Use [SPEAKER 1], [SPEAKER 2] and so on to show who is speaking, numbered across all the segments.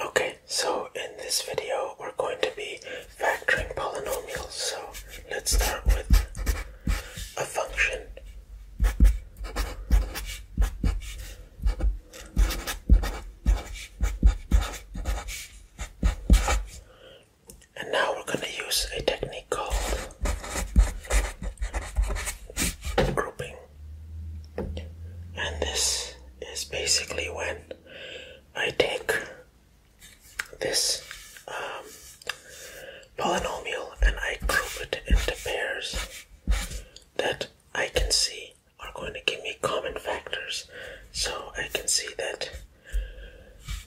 [SPEAKER 1] Okay, so in this video we're going to be factoring polynomials. So let's start with a function. And now we're going to use a technique called grouping and this is basically when I take this um, polynomial and I group it into pairs that I can see are going to give me common factors. So I can see that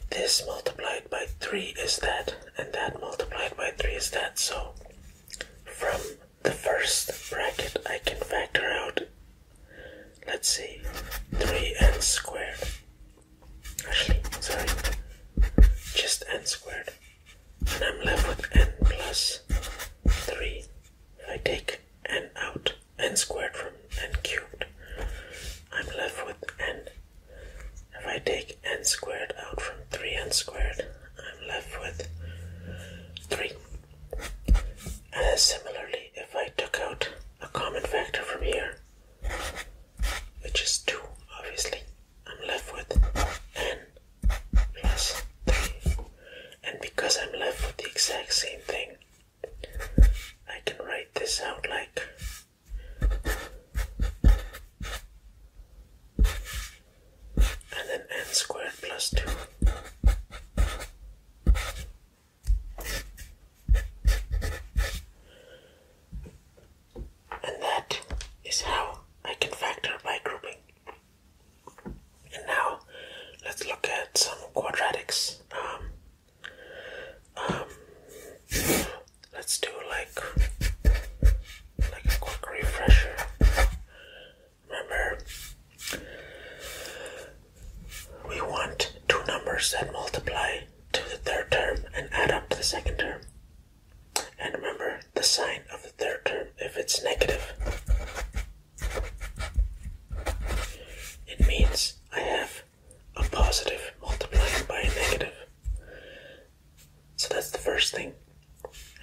[SPEAKER 1] this multiplied by 3 is that, and that multiplied by 3 is that. So from the first bracket I can factor out. Let's see, 3n squared. Actually, sorry, just n squared. And I'm left with n plus 3. If I take n out, n squared from n cubed, I'm left with n. If I take n squared out from 3n squared, I'm left with 3. Uh, similarly, if I took out a common factor from here, which is 2, obviously, I'm left with n plus 3. And because I'm left with the exact same thing, I can write this out like and then n squared plus 2. And that is how I can factor by grouping. And now let's look at some quadratics. Um, um, let's do like like a quick refresher. Remember, we want two numbers that multiply to the third term and add up to the second term. And remember the sign of the third term if it's negative. It means I have a positive multiplied by a negative. So that's the first thing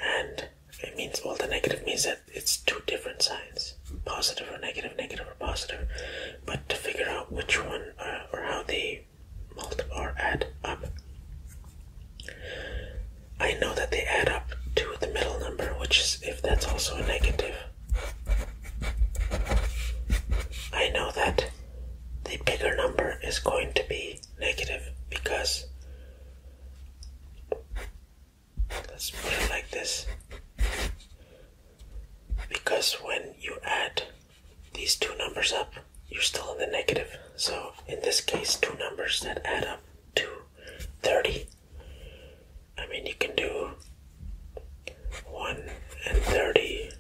[SPEAKER 1] and it means all the negative means that it's two different signs positive or negative negative or positive but to figure out which one uh, or how they multiply or add up i know that they add up to the middle number which is if that's also a negative i know that the bigger number is going to be negative because Let's put it like this. Because when you add these two numbers up, you're still in the negative. So in this case, two numbers that add up to 30. I mean, you can do 1 and 30,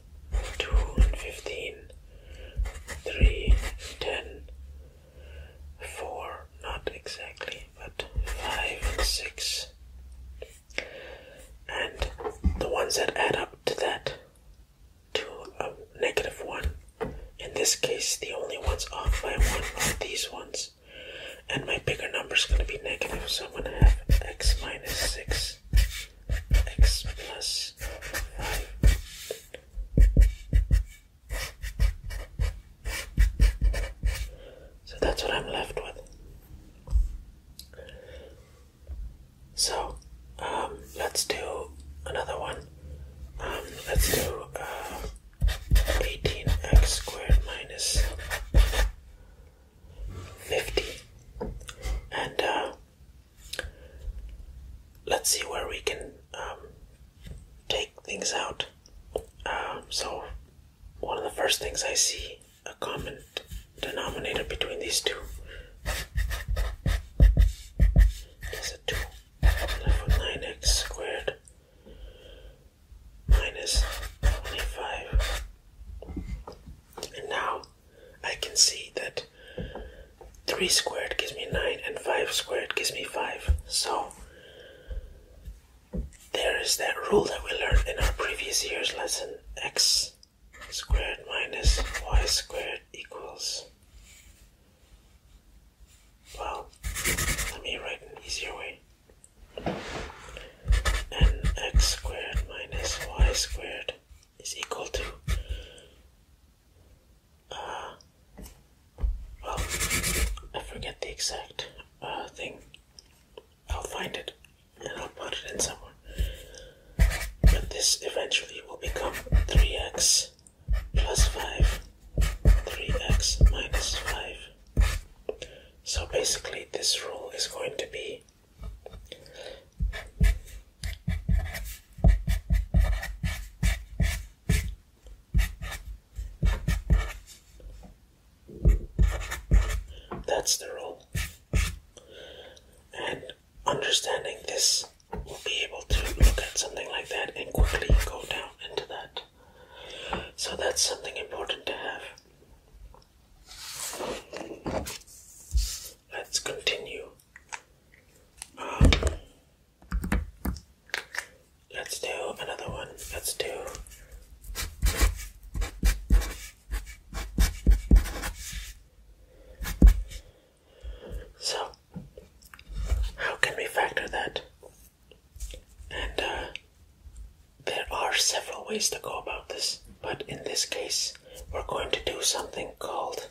[SPEAKER 1] 2 and 15, 3 and 10, four, not exactly, but five and six. And the ones that add up to that, to a negative one. In this case, the only ones off by one are these ones. And my bigger number is going to be negative, so I'm going to have x minus 6, x plus 5, so that's what I'm left with. So um, let's do another one. Um, let's do 18x uh, squared minus 50. And uh, let's see where we can um, take things out. Um, so, one of the first things I see a common denominator between these two is a 2 left with 9x squared minus 25. And now I can see that 3 squared gives me 9 and 5 squared gives me 5. So there is that rule that we learned in our previous year's lesson x squared minus y squared equals. Well, let me write an easier way. And x squared minus y squared is equal to well, I forget the exact uh, thing. I'll find it and I'll put it in somewhere. But this eventually will become 3x plus 5, 3x minus 5. So basically, this rule is going to be that's the rule. And understanding this, will be able to look at something like that and quickly go down into that. So that's something important to have. Let's continue. Um, Let's do another one. Let's do. So, how can we factor that? And uh, there are several ways to go about this, but in this case, we're going to do something called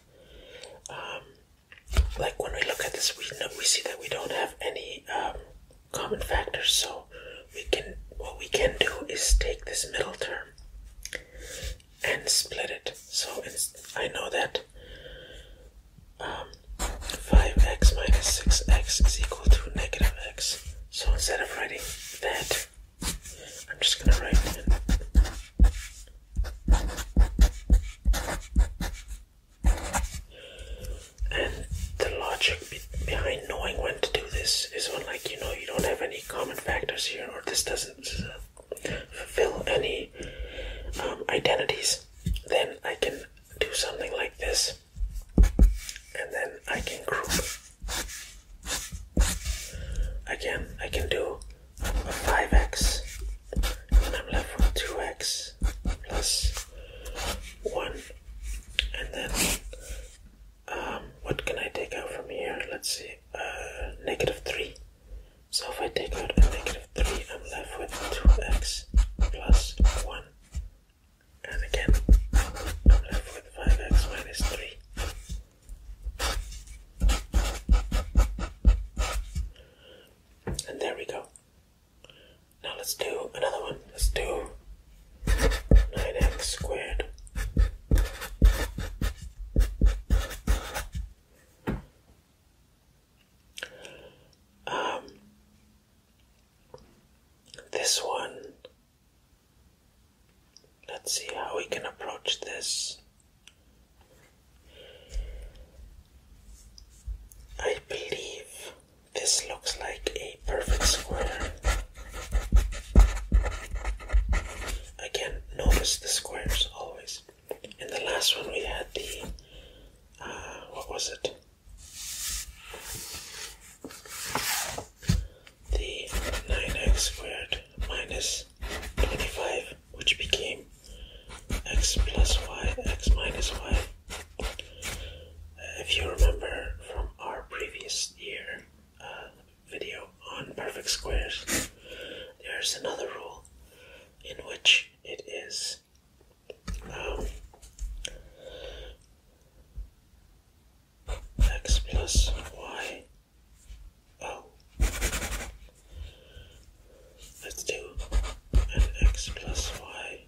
[SPEAKER 1] um, like when we look at this, we know, we see that we don't have any um, common factors. So we can what we can do is take this middle term and split it. So it's, I know that um, 5x minus 6x is equal to negative x. So instead of writing that, I'm just going to write and the logic behind knowing when to do this is when, like, you know, you don't have any common factors here, or this doesn't fulfill any um, identities. Then I can do something like this, and then I can group. Again, I can do 5x, and I'm left with 2x plus 1. And then, um, what can I take out from here? Let's see, uh, 3. So if I take out a negative 3, I'm left with 2x plus 1. And again, I'm left with 5x minus 3. And there we go. Now let's do another one. Let's do 9x squared. Um, this one, let's see how we can approach this. I believe this looks like a perfect square. Again, notice the squares always. In the last one, we had the uh, what was it? The 9x squared minus 25, which became x plus y, x minus y. if you remember from our previous year uh, video on perfect squares, there's another rule in which it is um, x plus y. Oh, Let's do x plus y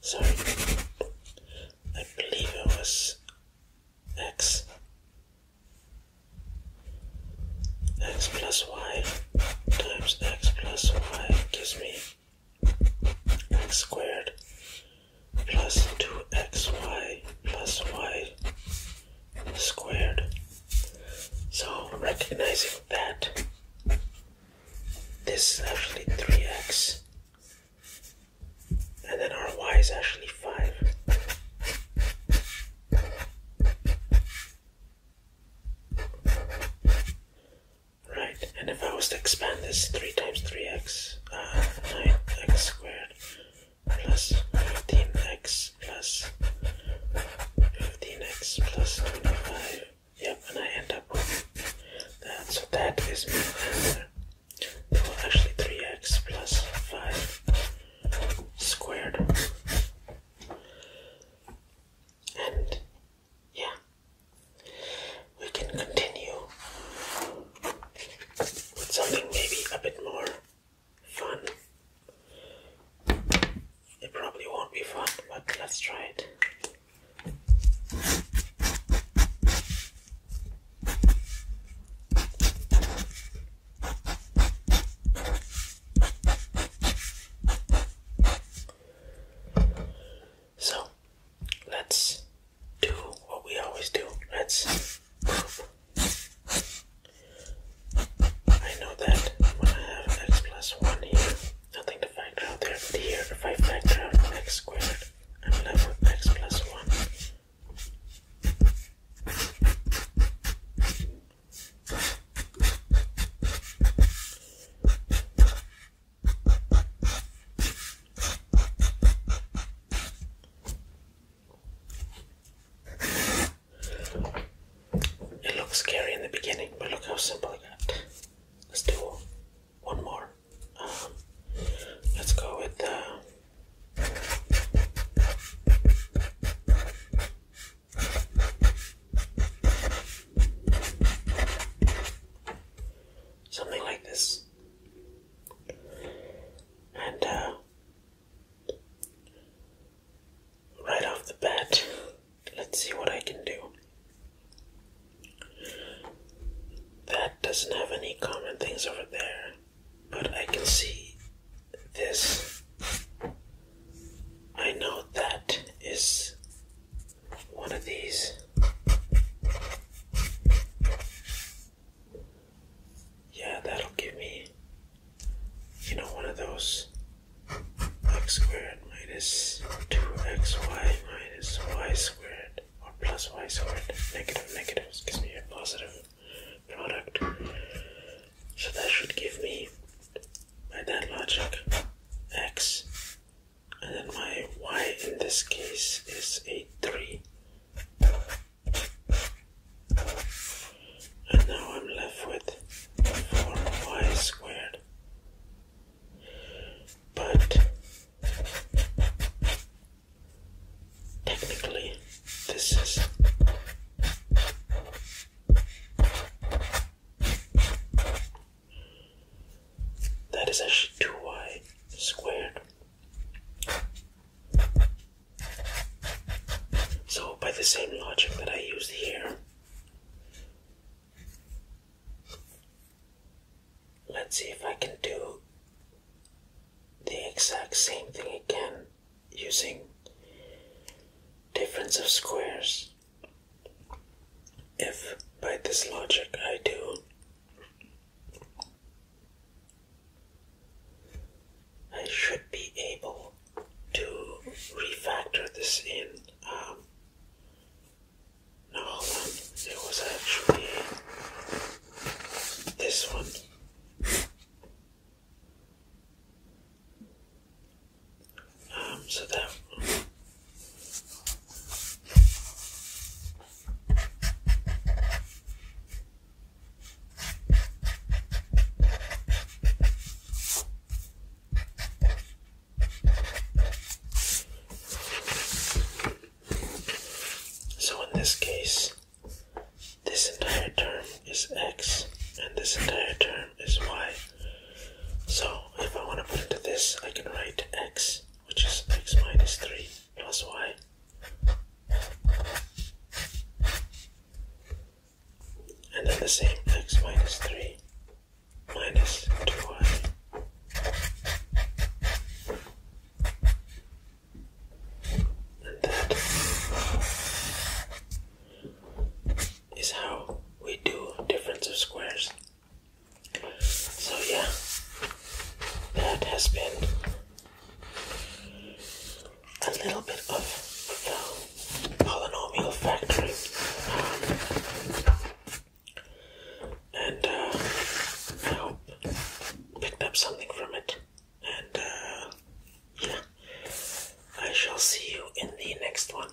[SPEAKER 1] Sorry, I believe it was x x plus y times x plus y gives me x squared plus 2xy plus y squared. So recognizing that this is actually 3x and then our y is actually 5. Right, and if I was to expand this 3 times 3x, uh, 9x squared plus 15x plus 15x plus 25. Yep, and I end up with that. So that is my answer. actually, 3x plus 5 squared. And yeah we can continue with something maybe a bit more fun. It probably won't be fun, but let's try it. So let's do what we always do. Let's move. I know that i have x plus 1 here. Nothing to factor out there, but here, factor x squared, I'm left with x plus 1. It looks scary in the beginning, but look how simple it got. Let's do one more. Um, let's go with uh, Something like this. And uh, right off the bat, let's see what I can do. That doesn't have any common things over there, but I can see this. I know that is one of these. Yeah, that'll give me, you know, one of those x squared minus 2xy minus y squared or plus y squared. Negative, negatives gives me a positive product. So that should give me, by that logic, x. And then my y in this case is a 3 and now I'm left with 4y squared. But technically, this is. That is actually 2y squared. So, by the same logic that I used here, let's see if I can do the exact same thing again using difference of squares. If by this logic I do I should be able to refactor this in. Um, no, hold on. It was actually this one. Um, so that so in this case, this entire term is x and this entire term is y. So if I want to put into this, I can write x, which is x minus 3 plus y and then the same x minus 3 minus 2y and that is how we do difference of squares so yeah, that has been a little bit of the polynomial factory, and uh, I hope picked up something from it. And uh, yeah, I shall see you in the next one.